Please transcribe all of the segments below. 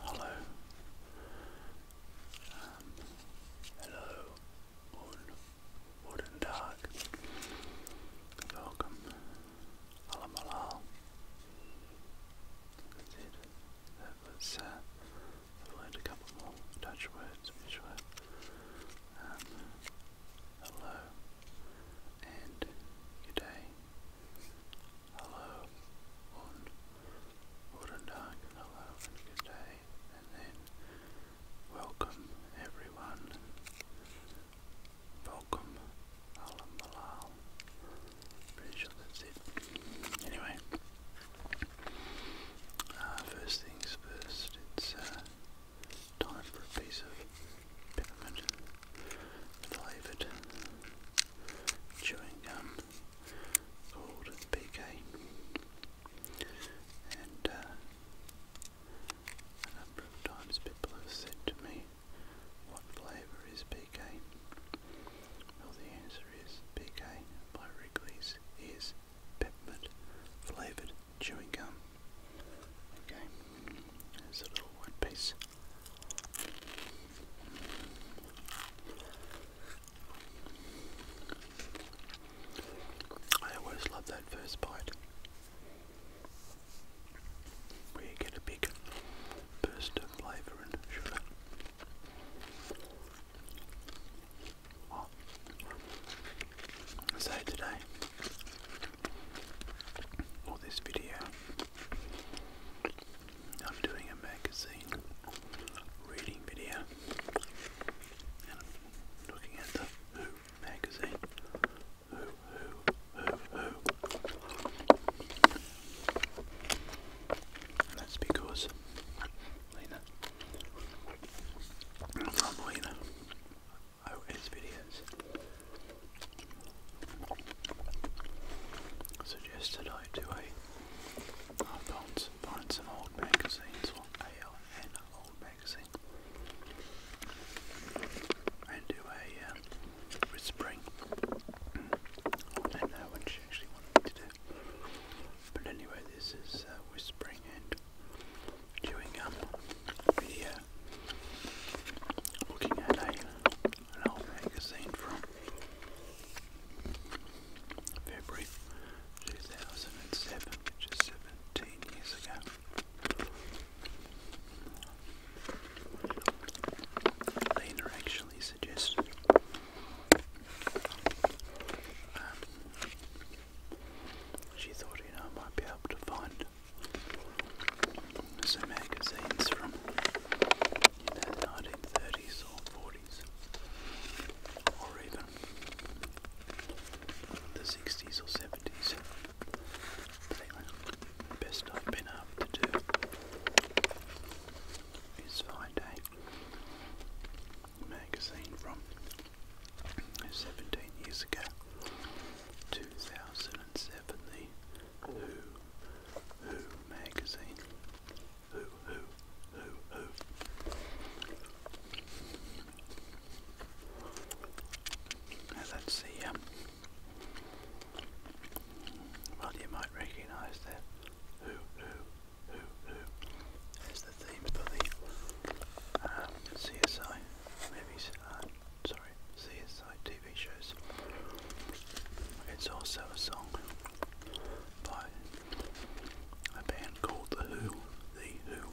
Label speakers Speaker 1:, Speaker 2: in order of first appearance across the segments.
Speaker 1: Hello. Um, hello. Wood dark. Welcome. Alam Alal. That's have uh, learned a couple more Dutch words, um, hello and good day hello on Guten Tag, hello good day, and then welcome everyone, welcome Alam Malal. Anyway, uh, first things first, it's uh, time for a piece of peppermint flavoured chewing gum called PK. And uh, a number of times people have said to me, what flavour is PK? Well, the answer is PK by Wrigley's is peppermint flavoured chewing gum. Okay, there's a little one piece I always love that first bite where you get a big burst of flavour and sugar. So today, or this video, I'm doing a magazine reading video and looking at the Who magazine. Who, who, who, who. that's because Lena, from OS videos, suggested I do a I found, found some old magazines, or ALN old magazine, and do a um, uh, wrist spring. Mm. I don't know what she actually wanted me to do. But anyway, this is uh, whispering and chewing up video. Looking at a an old magazine from February 2007, which is 17 years ago. Lena actually suggested um, she thought, you know, might be able to find some magazines from you 30s or 40s or even the 60s best I've been able to do is find a magazine from 17 years ago, 2007, Who, Who magazine who, who, who, who. Now that's the, um, well you might recognise that who, who, who, who as the theme for the um, CSI movies, uh, sorry, CSI TV shows. It's also a song by a band called The Who. The Who.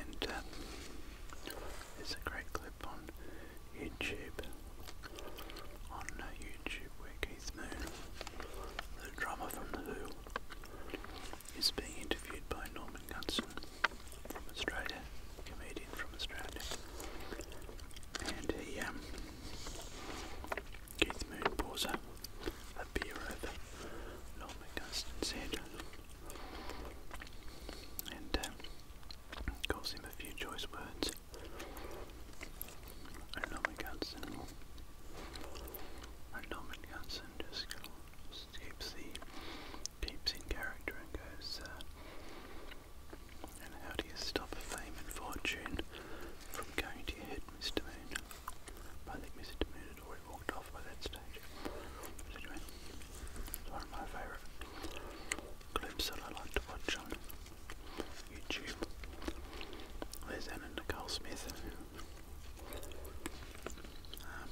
Speaker 1: And uh, a great clip on YouTube. On uh, YouTube, where Keith Moon, the drummer from The Who, is being interviewed by Norman Gunson from Australia, comedian from Australia, and he, um, Keith Moon pours a, beer over Lord McGustin's and um, him a few choice words. And Lord McGustin, and Lord McGustin just, keeps the keeps in character and goes. Uh, and how do you stop fame and fortune from going to your head, Mr. Moon? I think Mr. Moon had already walked off by that stage. one of my favourite clips that I like to watch on YouTube. There's Anna Nicole Smith. Uh,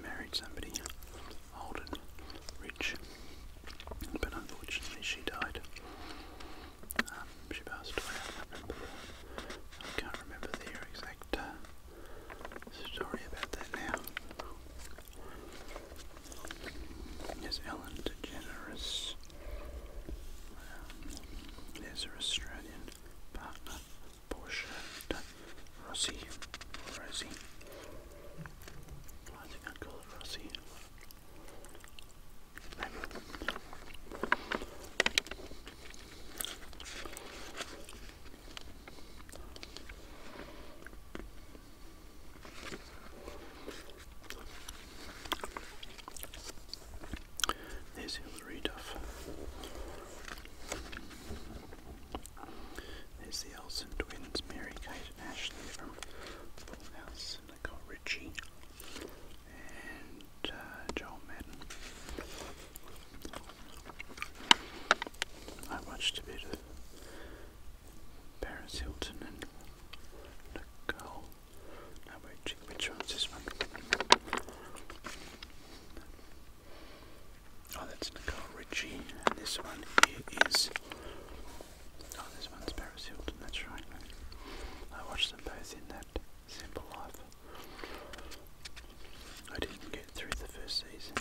Speaker 1: married somebody Holden Rich, but unfortunately she died. Um, she passed away. I can't remember the exact uh, story about that now. There's Ellen DeGeneres. there's um, her Australian partner, Portia Rossi. I think I'll go across here. There's Hillary Duff. There's the Olsen twins, Mary Kate and Ashley from Full House, Nicole Richie, and uh, Joel Madden. I watched a bit of Paris Hilton and Nicole. No, which, which one's this one? Oh, that's Nicole Richie, and this one here is. Oh, this one's Paris Hilton, that's right. I watched them both in that simple life. I didn't get through the first season.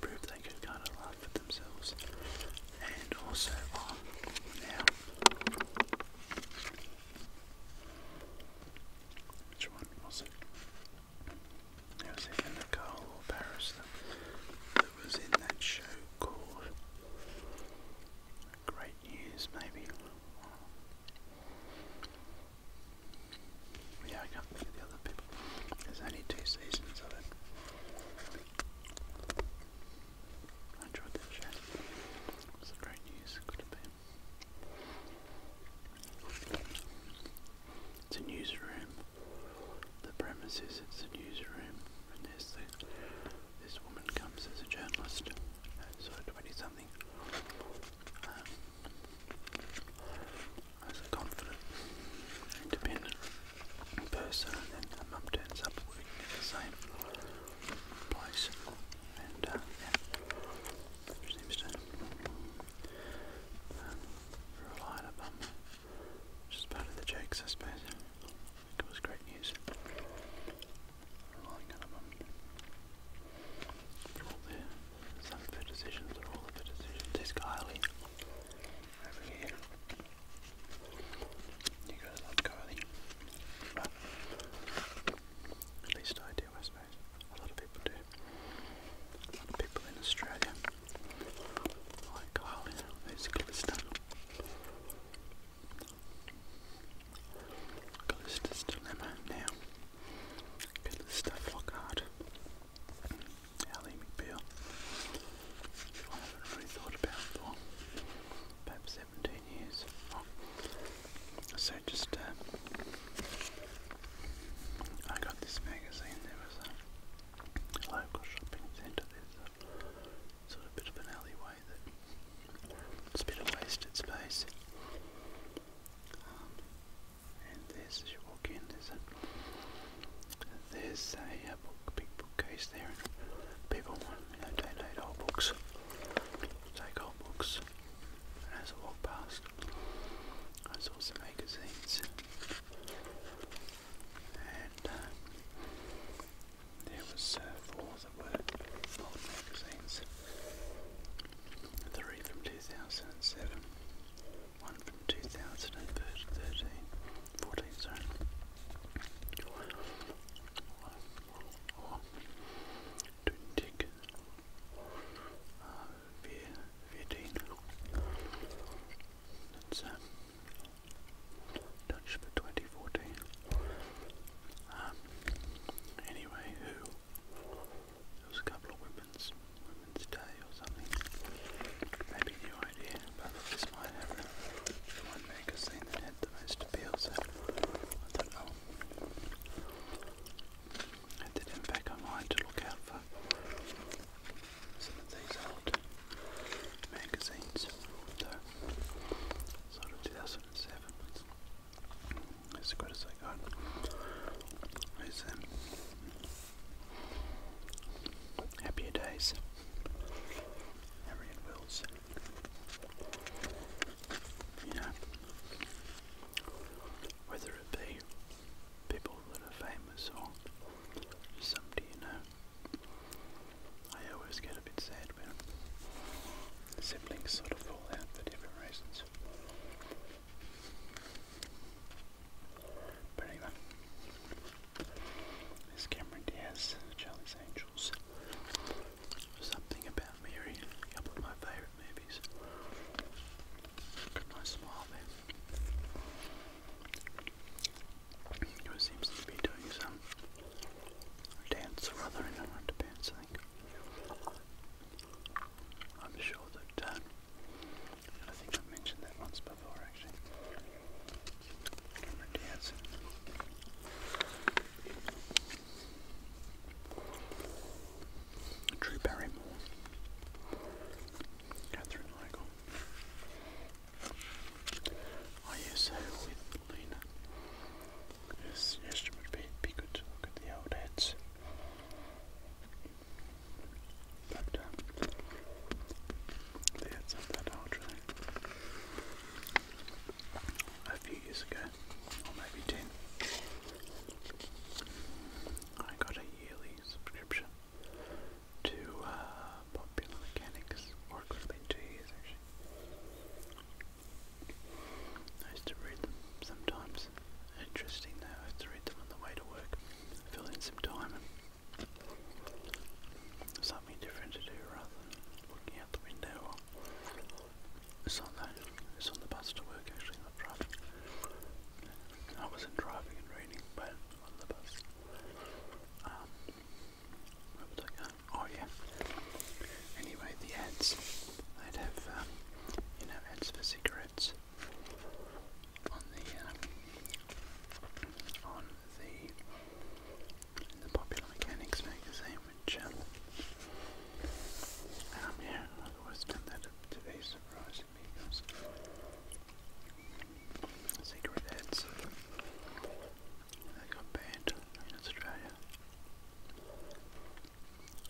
Speaker 1: proved they could kind of laugh at themselves. And also, oh, now. Which one was it? was either Nicole or Paris that, was in that show called Great News, maybe. Yeah, I can the other people. There's only two seasons of it. I enjoyed that show. It was great news. It's a newsroom. The premises, it's a newsroom. And there's the, this woman comes as a journalist, uh, sort of 20 something. Um, as a confident, independent person, and then her mum turns up working at the same place. And, uh, yeah, she seems to um, part of the jakes, I suppose. it was great news. some of their decisions, all of their decisions. There's Kylie over here. You guys love Kylie. But at least I do, I suppose. A lot of people do. A lot of people in Australia like Harley, those Callisto. Callisto's Dilemma now. Callisto Flockhart. Ally McBeal. I haven't really thought about for about 17 years. So just, uh, I got this magazine, there was a local shopping centre, there's a sort of bit of an alleyway that, it's a bit of wasted space. Um, and there's, as you walk in, there's a, there's a, book, big bookcase there, and people want, to know, donate old books, take old books, and as I walk past, I saw some magazines, and uh, there was uh, four that were old magazines, three from 2007, one from 2013, 14, sorry, Viadine. That's um, Dutch for 2014. Um, anyway, who? It was a couple of women's, women's day or something. Maybe new idea, but this might have the, the one magazine that had the most appeal, so I don't know. I did in fact I to look out for some of these old magazines. Though sort of 2007 as good as I got. There's um, Happier Days. Harriet Wills. You know, whether it be people that are famous or somebody you know. I always get a bit sad when siblings sort of fall out for different reasons. But anyway, there's Cameron Diaz, Charlie's Angels, Something About Mary, a couple my favourites favorite movies. Look smile there. He seems to be doing some dance or other in I am sure that, uh, I think I've mentioned that once before actually. It Drew Barrymore, Catherine Heigl. I use her with Lena. Yes, yes, it would be, be good to look at the old heads. But um, the heads aren't that old, really. A few years ago, or maybe ten, I got a yearly subscription to uh, Popular Mechanics, or it could have two years actually. I to read them sometimes. Interesting though, I have to read them on the way to work, fill in some time and something different to do rather than looking out the window it's on the, it's on the bus to work actually I wasn't driving and raining, but on the bus. Um, where was I going? Oh yeah. Anyway, the ads. They'd have, um, you know, ads for cigarettes on the, um, on the, in the Popular Mechanics magazine, which, um, um yeah, wisdom banned in Australia,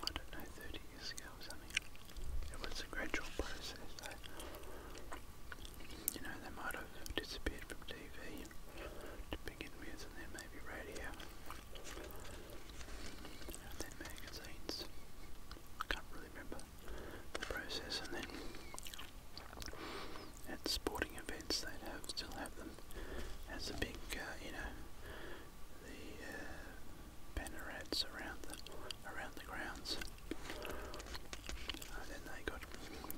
Speaker 1: I don't know, 30 years ago or something. It was a gradual process You know, they might have disappeared from TV to begin with and then maybe radio and then magazines. I can't really remember the process. And then at sporting events, they'd have still have them as a big, uh, you know, the uh, banner ads around the around the grounds. And then they got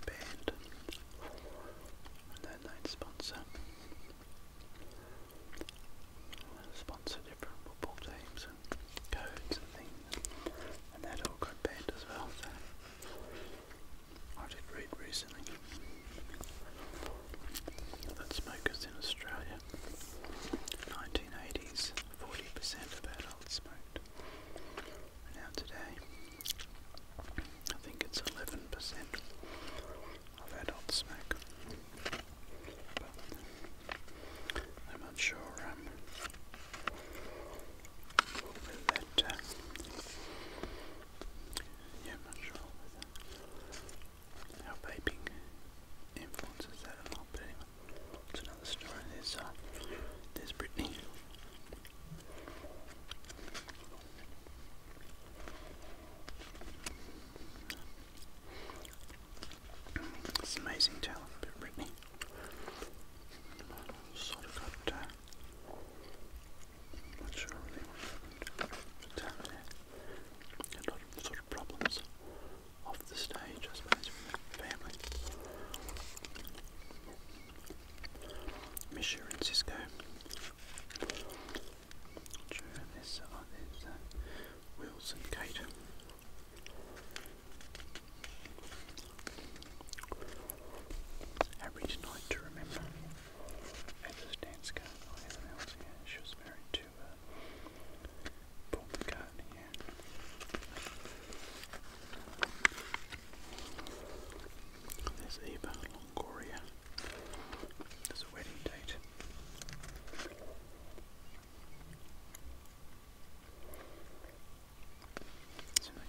Speaker 1: banned, and then they'd sponsor sponsor different football teams codes and things, and that all got banned as well. I did read recently that smokers in Australia, 1980s, 40% of adults smoked. now today, I think it's 11% of adults smoke. I'm not sure um, uh, yeah, I'm not sure how vaping influences that or not, but anyway, it's another story. There's, uh, there's Brittany. It's amazing talent, but Brittany. Sort of got. Uh, not sure really what happened, but uh, yeah. a lot of sort of problems off the stage, I suppose, with the family. Misha and Cisco. Sure, there's, uh, there's and Kate. Average night to remember. Ada Stanska, or whatever She was married to uh, Paul McCartney, There's Eva Longoria. There's a wedding date. So we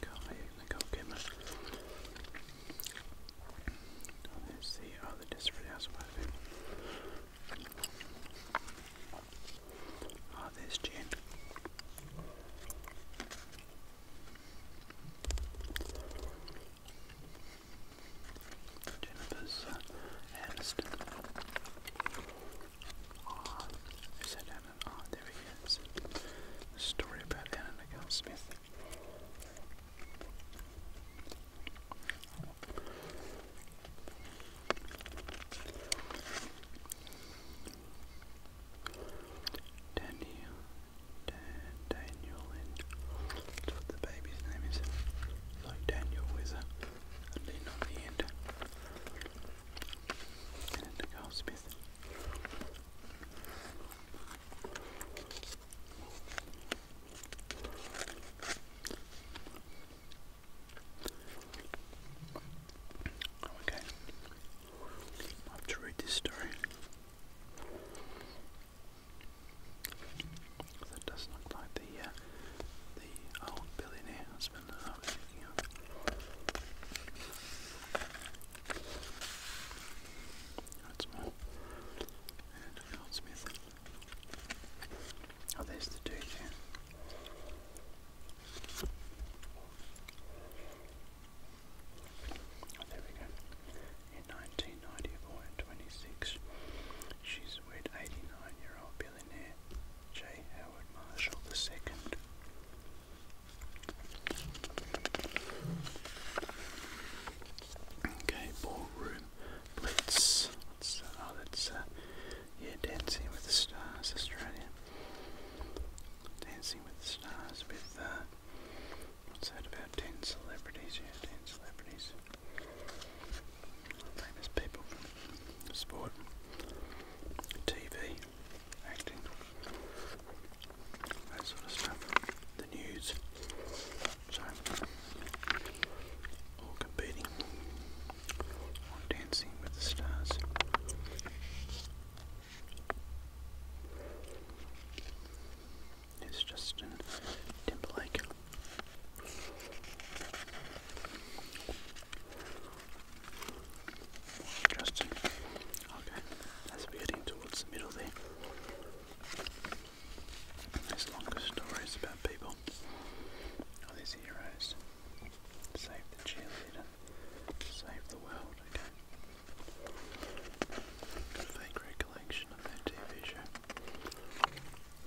Speaker 1: Oh, there's the other disc for Ah, there's Jen. Jennifer uh, Aniston. Ah, who said Anna? Ah, there he is. story about Anna Nicole Smith. Daniel, Dan, Daniel, and the baby's name is. Like Daniel with Okay, I have to read this story. That doesn't look like the uh, the old billionaire husband That's more. And Goldsmith. Oh, there's the dude there. Oh, there we go. In 1990, born 26, she's a 89 year old J. Howard Marshall II. Okay, ballroom blitz. Uh, oh, that's uh, yeah, Dancing with the Stars, Australia. Dancing with the Stars with uh, what's that about ten celebrities? Yeah, ten celebrities. Famous people sport, TV, acting, that sort of stuff, the news. So, all competing Dancing with the Stars. It's Justin Timberlake. Justin. Okay, as we're getting the middle there. There's longer stories about people. Oh, there's heroes. Save the cheerleader. Save the world, okay. Got a of that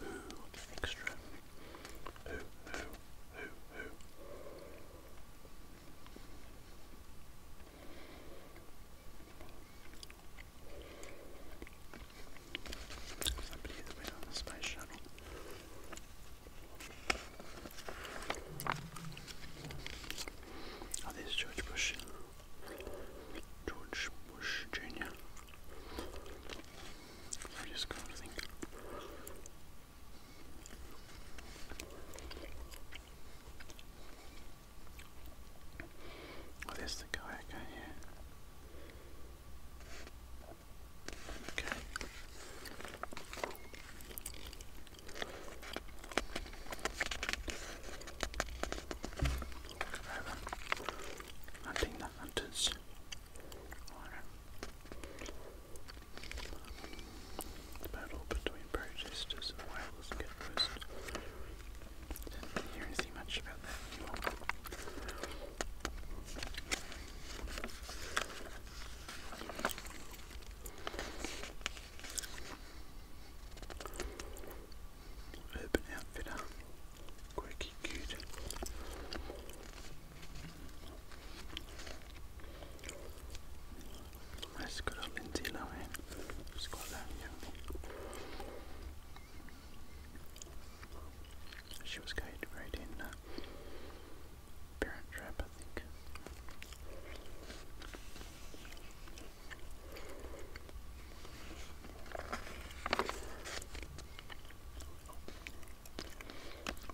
Speaker 1: Ooh, extra. Ooh, ooh, ooh, ooh. Somebody that went on the space shuttle. Oh, there's George Bush. George Bush Jr. I think. Oh, there's the guy, okay, yeah. Okay. Look over. Hunting hunters. The battle between protesters and Wales get Didn't hear anything much about that anymore. Urban Outfitter, Quirky Cute. That's good old Lindsay eh? Lohan. She was going to right in uh, Parent Trap, I think.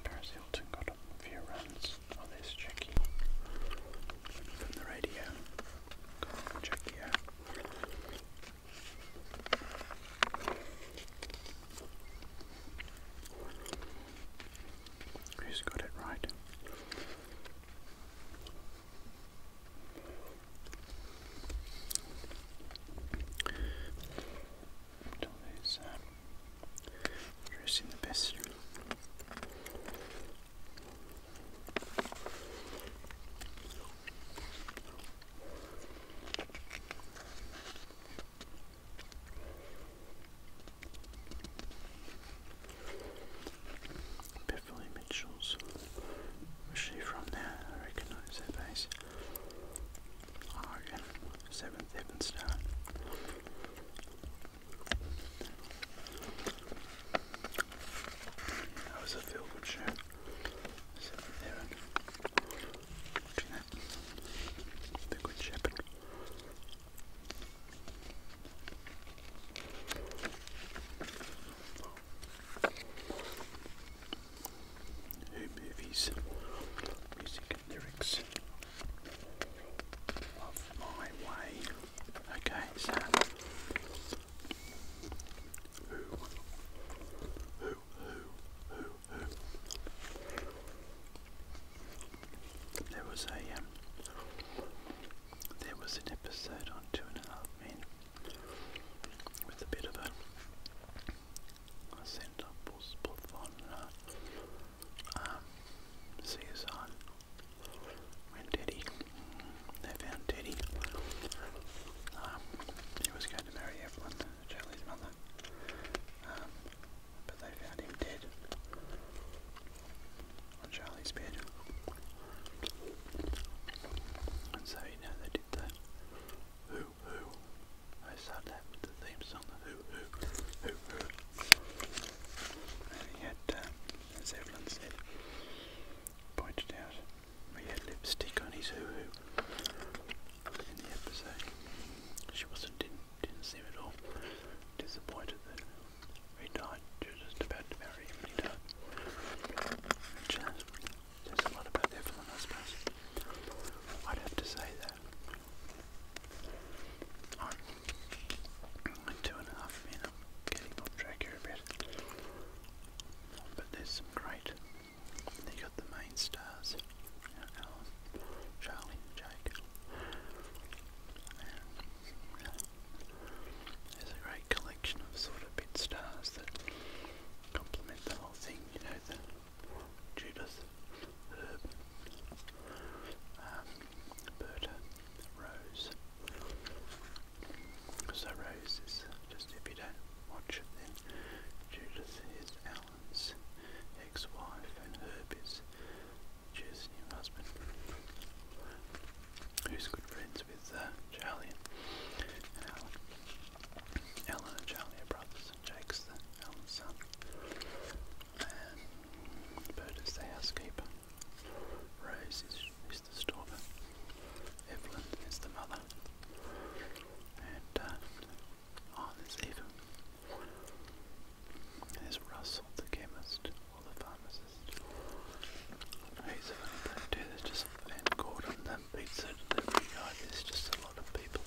Speaker 1: Paris Hilton got a few runs on this Jackie from the radio. Who's got it right? Always uh, dressing the best. she from there? I recognise her face. Oregon, seventh Evanston. That was a Fieldwood show. Seventh Evan. Good Shepherd. Hey, movies, music and lyrics my way. Okay, so who, who, who, who? There was a um, there was an episode on Two and a Half Men with a bit of a Center Busbotwana, uh, um, CSI, when Teddy, they found Teddy, um, he was going to marry Evelyn, Charlie's mother, um, but they found him dead on Charlie's bed, and so, you they did the who, who, I saw that with the theme song, the Who Who Who Who. And he had, um, as Evelyn said, pointed out, he had lipstick on his Who Who in the episode. She wasn't, didn't, didn't seem at all disappointed that he died. just about to marry him and he died. Uh, says a lot about Evelyn, I suppose. I'd have to say that two and a half, you know, getting off track here a bit. But there's some great, they got the main stars, Alan, Charlie, Jake. there's a great collection of sort of bit stars that complement the whole thing, you know, the Judith, Herb, um, Berta, Rose. So Rose is just if you don't watch it, then Judith is Alan's ex-wife, and Herb is Judith's new husband, who's good friends with uh, Charlie and Alan. Uh, Alan and Charlie are brothers. Jason Jakes, the eldest son, and the housekeeper, Rose is, the storeman, Evelyn is the mother, and uh, oh, there's Russell, the chemist or the pharmacist. He's a There's just and Gordon, that pizza delivery guy. There's just a lot of people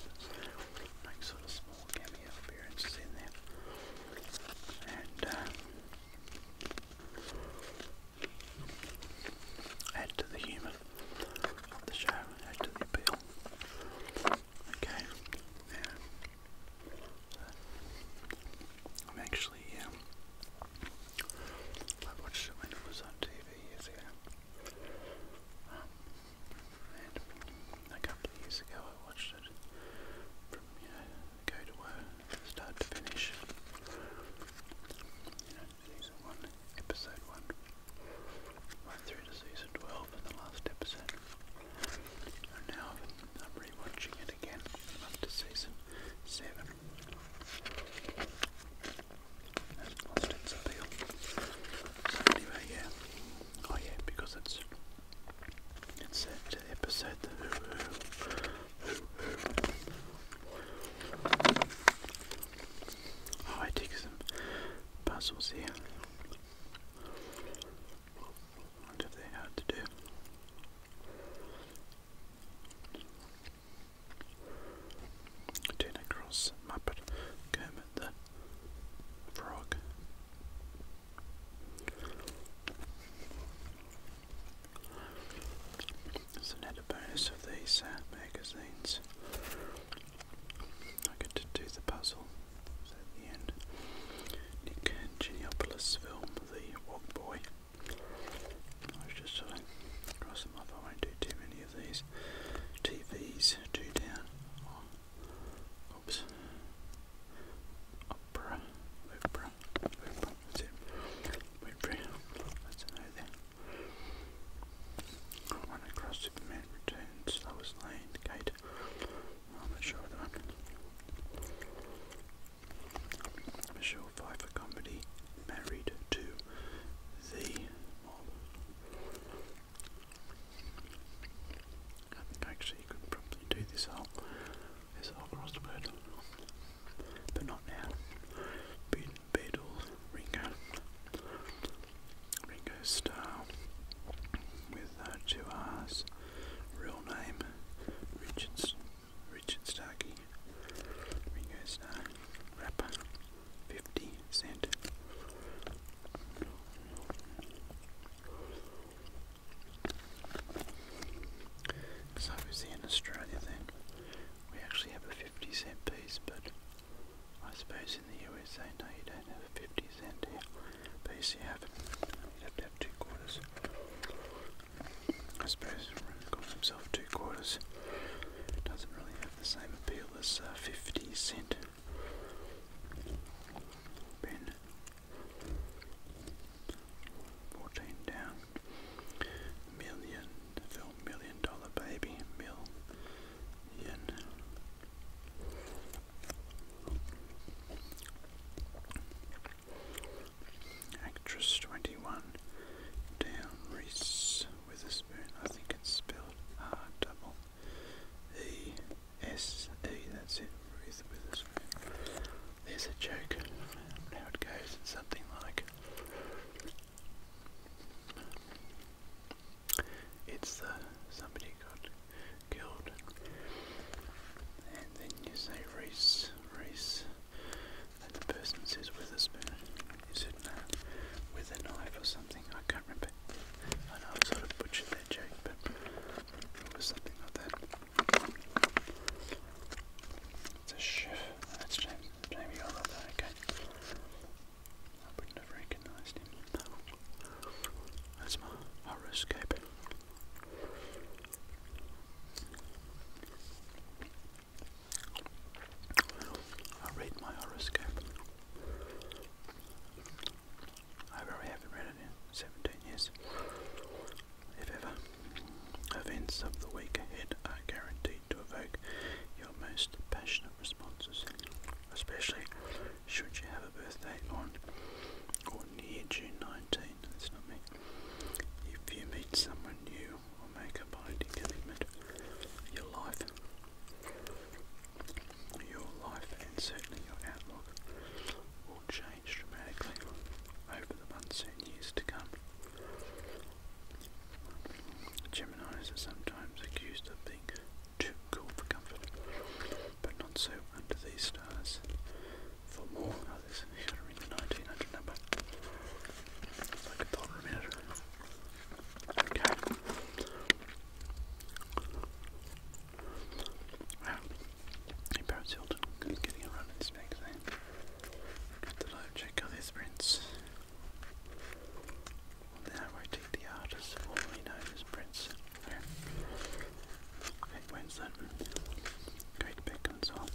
Speaker 1: make sort of small uh, add to the show, add to the appeal. Okay, I'm actually, um, I watched it when it was on TV a couple of years ago I watched it from, start to finish. You know, season 1, episode 1, right through to season 12 and the last episode. And now I'm rewatching it again, up to season 7. That's lost its So anyway, yeah, Oh yeah, because it's it's an episode Oh, I take some puzzles here. I wonder they had to do. Turn across Muppet Kermit the frog. It's an added bonus of these magazines. I get to do the puzzle at the end. Nick Geniopoulos film, The Walk Boy. I was just sort of them off. I won't do too many of these. TVs, two down. Oops. Opera. Opera. Opera. That's it. Wait That's an idea. Run across Superman returns. I was laying the gate. I'm not sure that I Michelle Pfeiffer Company married to the mob. I think actually you could probably do this whole this whole crossword. But not now. Bead Ringo Ringo Starr with uh, two R's real name Richards Richard Starkey Ringo Starr rapper fifty sand. Because in Australia then we actually have a 50 cent piece, but I suppose in the USA no, you don't have a 50 cent piece, you have, you have to have two quarters. I suppose calling himself two quarters doesn't really have the same appeal as uh, 50 cent. Pin. 14 down. Million. The Million Dollar Baby. Million. Actress 21. Down. Reese Witherspoon. I think it's spelled R double E S E. That's it. Ruth Witherspoon. There's a joke. Now it goes. something like. It's the uh, somebody got killed, and then you say Reese, Reese, and the person says Witherspoon. Is it no, uh, with a knife or something? I can't remember. I know i am sort of butchering that joke, but it was something like that. That's a chef. That's James. Jamie I love that. Okay. I wouldn't have recognised him. That's my horoscope. I read my horoscope. I probably haven't read it in 17 years, if ever. Events of the week ahead are guaranteed to evoke your most passionate responses, especially should you have a birthday on or near June 19. That's not me. If you meet someone new or make a binding commitment, your life your life and certainly your outlook will change dramatically over the months and years to come. Geminis are sometimes accused of being too cool for comfort, but not so under these stars. For more, oh, there's a hitter number. It's like a dollar a Okay. Wow. Hey, Hilton. getting a in this bag to check out these prints. Well, then I the artist formerly known as Prince. Yeah. Kate Winslet. Kate Beckinsale.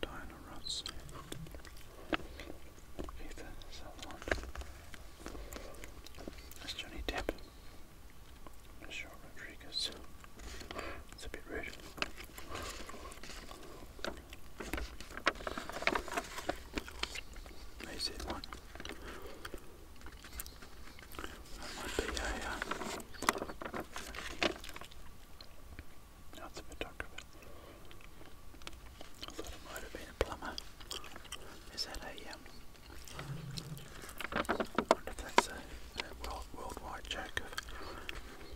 Speaker 1: Diana Ross. That's Johnny Depp. Michelle Rodriguez. It's a bit rude. They said one. That might be a. Uh, that's a photographer. I thought it might have been a plumber. Is that a um, I wonder if that's a, world, wide joke of you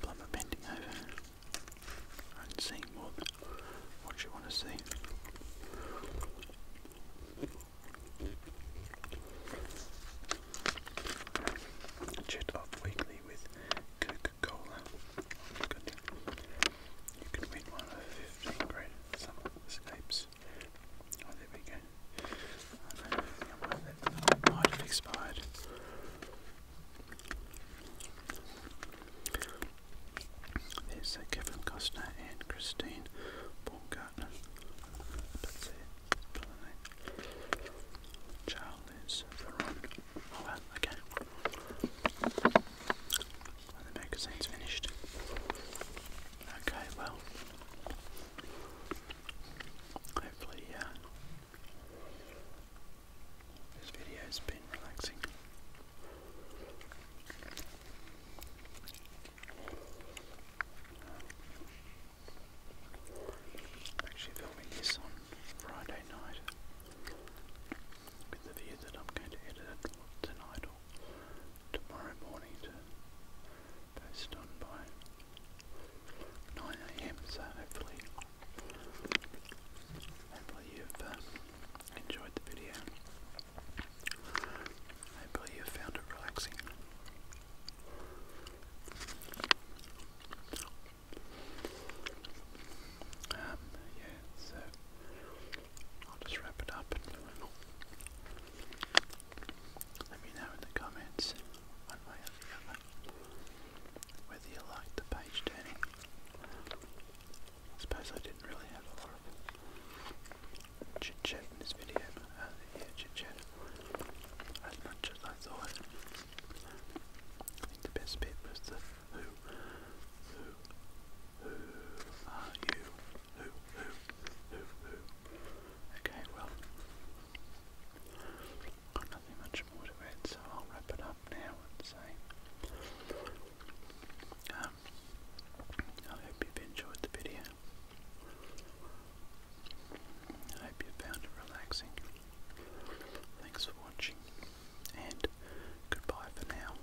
Speaker 1: plumber bending over and seeing what you want to see. Chat up weekly with Coca Cola. You can win one of 15 great summer escapes. Oh, there we go. I don't might have expired. There's Kevin Costner and Christine Baumgartner. That's it. Charles Theron. Oh, well, okay the magazine's finished. Okay, well, hopefully, uh, this video's been relaxing. actually filming this on Friday night with the view that I'm going to edit tonight or tomorrow morning to post on by 9am, so hopefully, hopefully you've um, enjoyed the video. Hopefully you have found it relaxing. Um, yeah, so I'll just wrap it up. Let me know in the comments, whether you liked the page turning. I suppose I didn't really have a lot of chit in this video, uh, yeah, chit as much as I thought. I think the best bit was the who who, are you? Who, who, who, who? Okay, well, got nothing much more to it, so I'll wrap it up now and say, um, I hope you've enjoyed the video. I hope you found it relaxing. Thanks for watching, and goodbye for now.